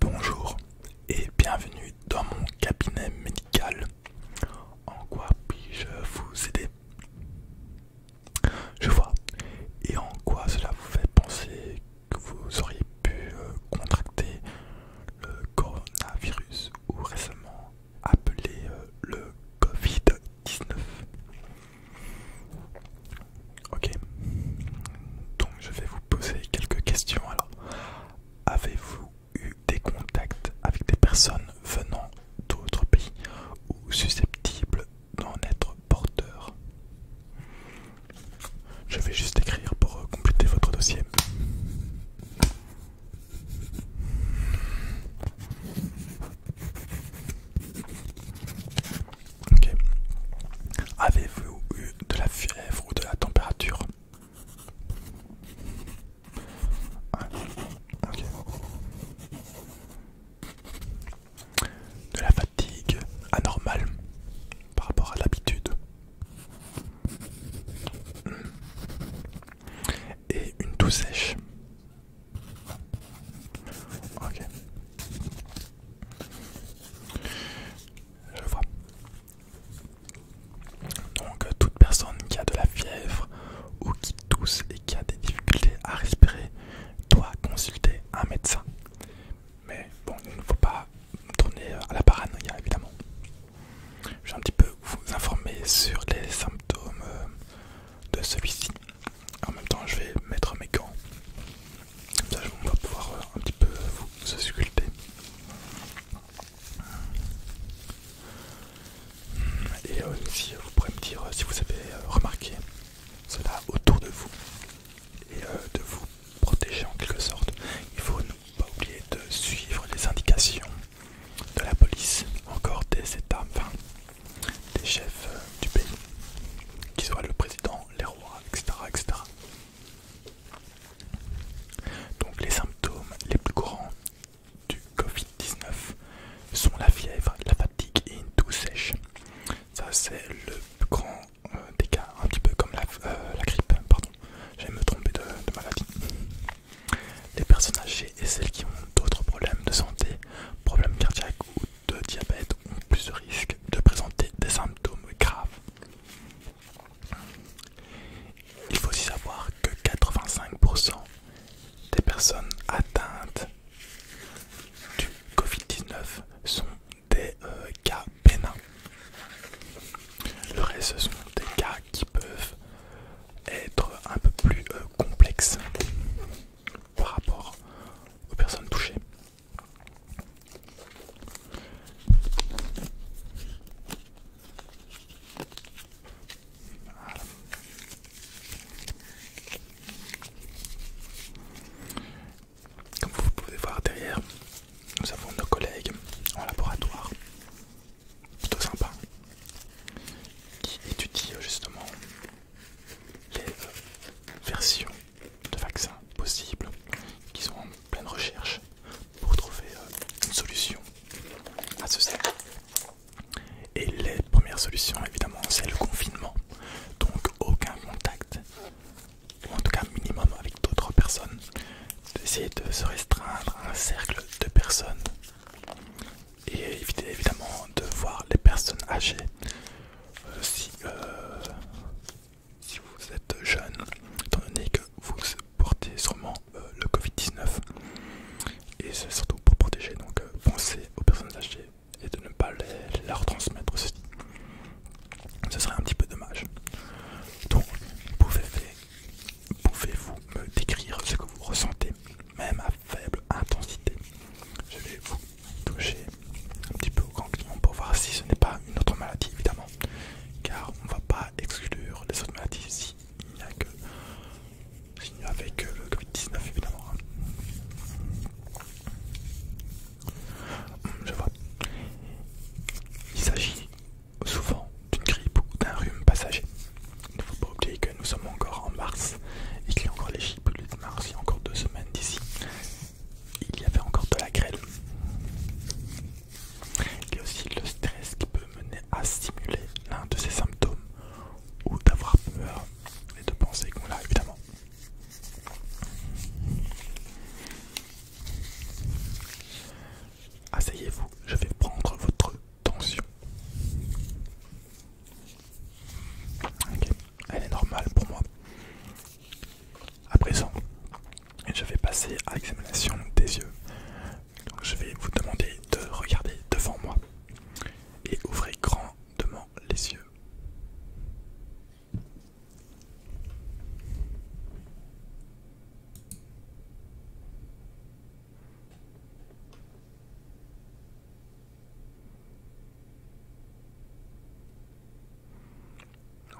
Bonjour et bienvenue dans mon cabinet médical. En quoi puis-je vous aider Je vois. Et en quoi cela vous fait penser que vous auriez pu euh, contracter le coronavirus ou récemment appelé euh, le Covid-19 Ok, donc je vais vous poser quelques questions alors. Avez-vous eu des contacts avec des personnes venant d'autres pays ou susceptibles d'en être porteurs Je vais juste écrire pour euh, compléter votre dossier. Ok. Avez-vous eu de la fièvre ou de la température De la fatigue anormale par rapport à l'habitude et une toux sèche. Ok. Je vois. Donc toute personne qui a de la fièvre ou qui tousse et qui a des difficultés à respirer doit consulter un médecin. Mais bon, il ne faut pas tourner euh, à la paranoïa évidemment. Je vais un petit peu vous informer sur les symptômes euh, de celui-ci. En même temps, je vais mettre mes gants. Comme ça, on va pouvoir euh, un petit peu vous, sculpter. Et aussi, vous pourrez me dire si vous avez euh, remarqué cela autour de vous et euh, de vous protéger en quelque sorte. Il faut ne pas oublier de suivre les indications de la police, encore dès cette enfin des chefs euh, du pays, qui soient le président, les rois, etc. Donc les symptômes les plus courants du Covid-19 sont la fièvre, la fatigue et une toux sèche. Ça c'est le plus grand euh, des cas, un petit peu comme la, euh, grippe, pardon, j'ai me tromper de, de maladie. Les personnes âgées et celles qui ont d'autres problèmes de santé, problèmes cardiaques, ou de diabète ont plus de risques de présenter des symptômes graves. Il faut aussi savoir que 85% des personnes atteintes du Covid-19 sont des euh, cas bénins. Le reste sont des cas qui peuvent être un peu plus euh, complexes par rapport aux personnes touchées. Comme vous pouvez voir derrière, nous avons nos collègues en laboratoire plutôt sympa qui étudie euh, justement les euh, versions de vaccins possibles qui sont en pleine recherche pour trouver euh, une solution à ce cercle Et les premières solutions évidemment c'est le confinement, donc aucun contact, ou en tout cas minimum avec d'autres personnes, d'essayer de se restreindre à un cercle de personnes et éviter évidemment de voir les personnes âgées euh, euh, si, vous êtes jeune, étant donné que vous portez sûrement euh, le Covid-19 et c'est surtout pour protéger, donc pensez aux personnes âgées et de ne pas les, leur transmettre Ce serait un petit peu dommage. Donc, pouvez-vous me décrire ce que vous ressentez même à faible intensité. Je vais vous toucher un petit peu au ganglion pour voir si ce n'est pas une autre maladie, évidemment, car on ne va pas exclure les autres maladies s'il n'y a que si euh, le Covid-19, évidemment. Hein. Hum, je vois. Il s'agit souvent d'une grippe ou d'un rhume passager. Il ne faut pas oublier que nous sommes encore en mars et qu'il y a encore les gibelets de mars, il y a encore deux semaines d'ici. Il y avait encore de la grêle. Il y a aussi le stress qui peut mener à stimuler l'un de ces symptômes ou d'avoir peur et de penser qu'on l'a évidemment. Asseyez-vous, je vais prendre votre tension. elle est normale pour moi. À présent, je vais passer à l'examination des yeux. je vais vous demander de regarder devant moi et ouvrez grandement les yeux.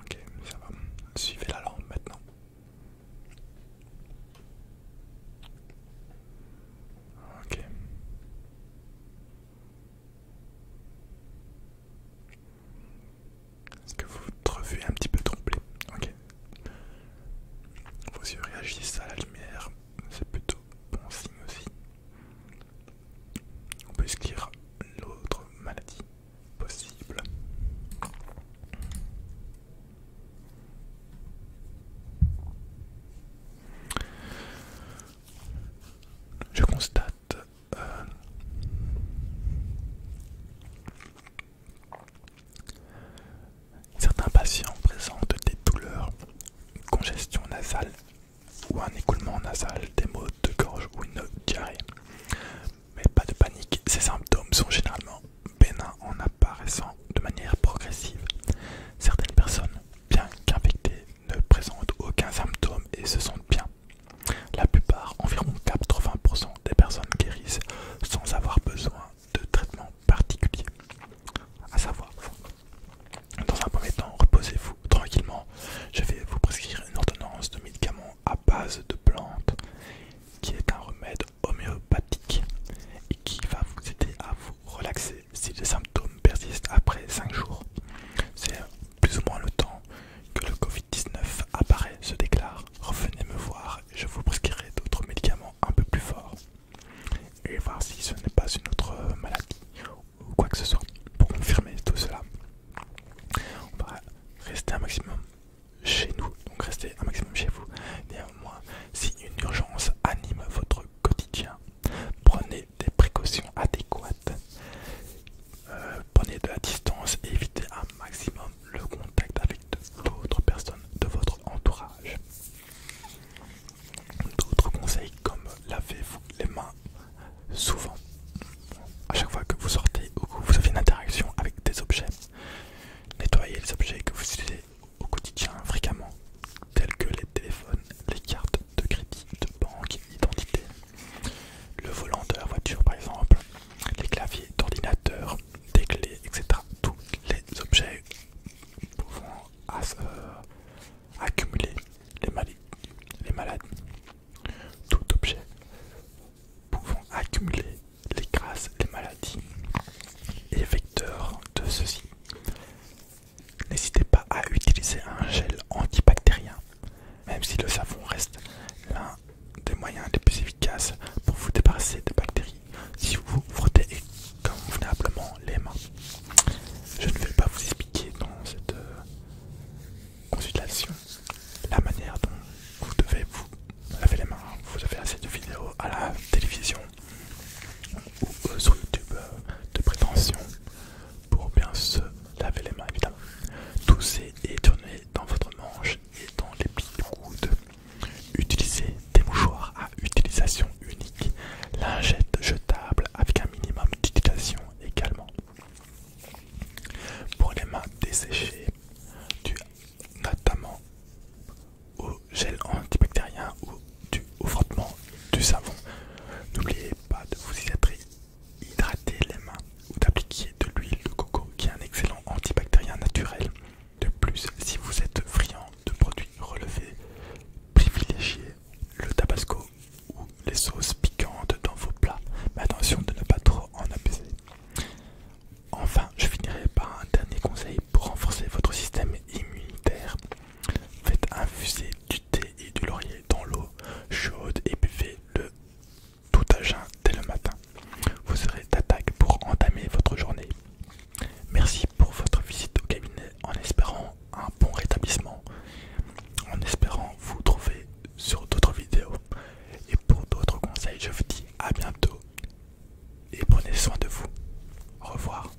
Ok, ça va. Suivez la lampe maintenant. Ok. Est-ce que votre vue est un petit peu troublée Ok. Vos yeux réagissent à la lumière, c'est plutôt bon signe aussi. On peut exclure l'autre maladie possible. Je constate euh, Certains patients présentent des douleurs, une congestion nasale ou un écoulement nasal, des maux de gorge ou une diarrhée. Mais pas de panique, ces symptômes sont généralement bénins en apparaissant de manière progressive. Certaines personnes, bien qu'infectées, ne présentent aucun symptôme et se sentent bien. La plupart, environ 80% des personnes guérissent sans avoir besoin de traitement particulier. À savoir, dans un premier temps, reposez-vous tranquillement. Je vais vous prescrire une ordonnance de médicaments à base de plantes qui est un remède homéopathique et qui va vous aider à vous relaxer si les symptômes persistent après 5 jours. C'est plus ou moins le temps que le Covid-19 apparaît, se déclare. Revenez me voir, je vous prescrirai d'autres médicaments un peu plus forts. Et voir si ce n'est pas une autre maladie ou quoi que ce soit pour confirmer tout cela. On va rester un maximum chez nous, donc restez un maximum chez vous. Néanmoins, si une urgence anime votre quotidien, prenez des précautions adéquates. Euh, prenez de la distance et évitez un maximum le contact avec d'autres personnes de votre entourage. D'autres conseils comme lavez-vous les mains souvent. À chaque fois que vous sortez ou que vous avez une interaction avec des objets, nettoyez les objets que vous utilisez au quotidien fréquemment, tels que les téléphones, les cartes de crédit, de banque, d'identité le volant de la voiture par exemple, les claviers d'ordinateur, des clés, etc. Tous les objets pouvant euh, accumuler les, maladies. les malades. Tout objet pouvant accumuler les grâces, les maladies et vecteurs de ceux-ci. N'hésitez pas à utiliser un gel antibactérien même si le savon reste l'un des moyens les plus efficaces pour vous débarrasser des bactéries si vous frottez convenablement les mains. Je ne vais pas vous expliquer dans cette euh, consultation la manière dont vous devez vous laver les mains. Vous avez assez de vidéos à la télévision ou euh, sur YouTube euh, de prétention pour bien se laver les mains évidemment. Toussez et tournez dans votre manche et dans les petits coudes. Utilisez des mouchoirs à utilisation unique, lingettes jetables avec un minimum d'utilisation également. Pour les mains desséchées, notamment au gel antibactérien ou du au frottement du savon. N'oubliez pas de vous hydrater Hydrater les mains ou d'appliquer de l'huile de coco qui est un excellent antibactérien naturel. De plus, si vous êtes friand de produits relevés, privilégiez le tabasco ou les sauces piquantes dans vos plats, mais attention de ne pas trop en abuser. Enfin, je finirai par un dernier conseil pour renforcer votre système immunitaire. Faites infuser du thé et du laurier dans l'eau chaude et buvez le tout à jeun dès le matin. Vous serez d'attaque pour entamer votre journée. Merci pour votre visite au cabinet en espérant un bon rétablissement, en espérant vous trouver sur d'autres vidéos. Et pour d'autres conseils, je vous dis à bientôt et prenez soin de vous. Au revoir.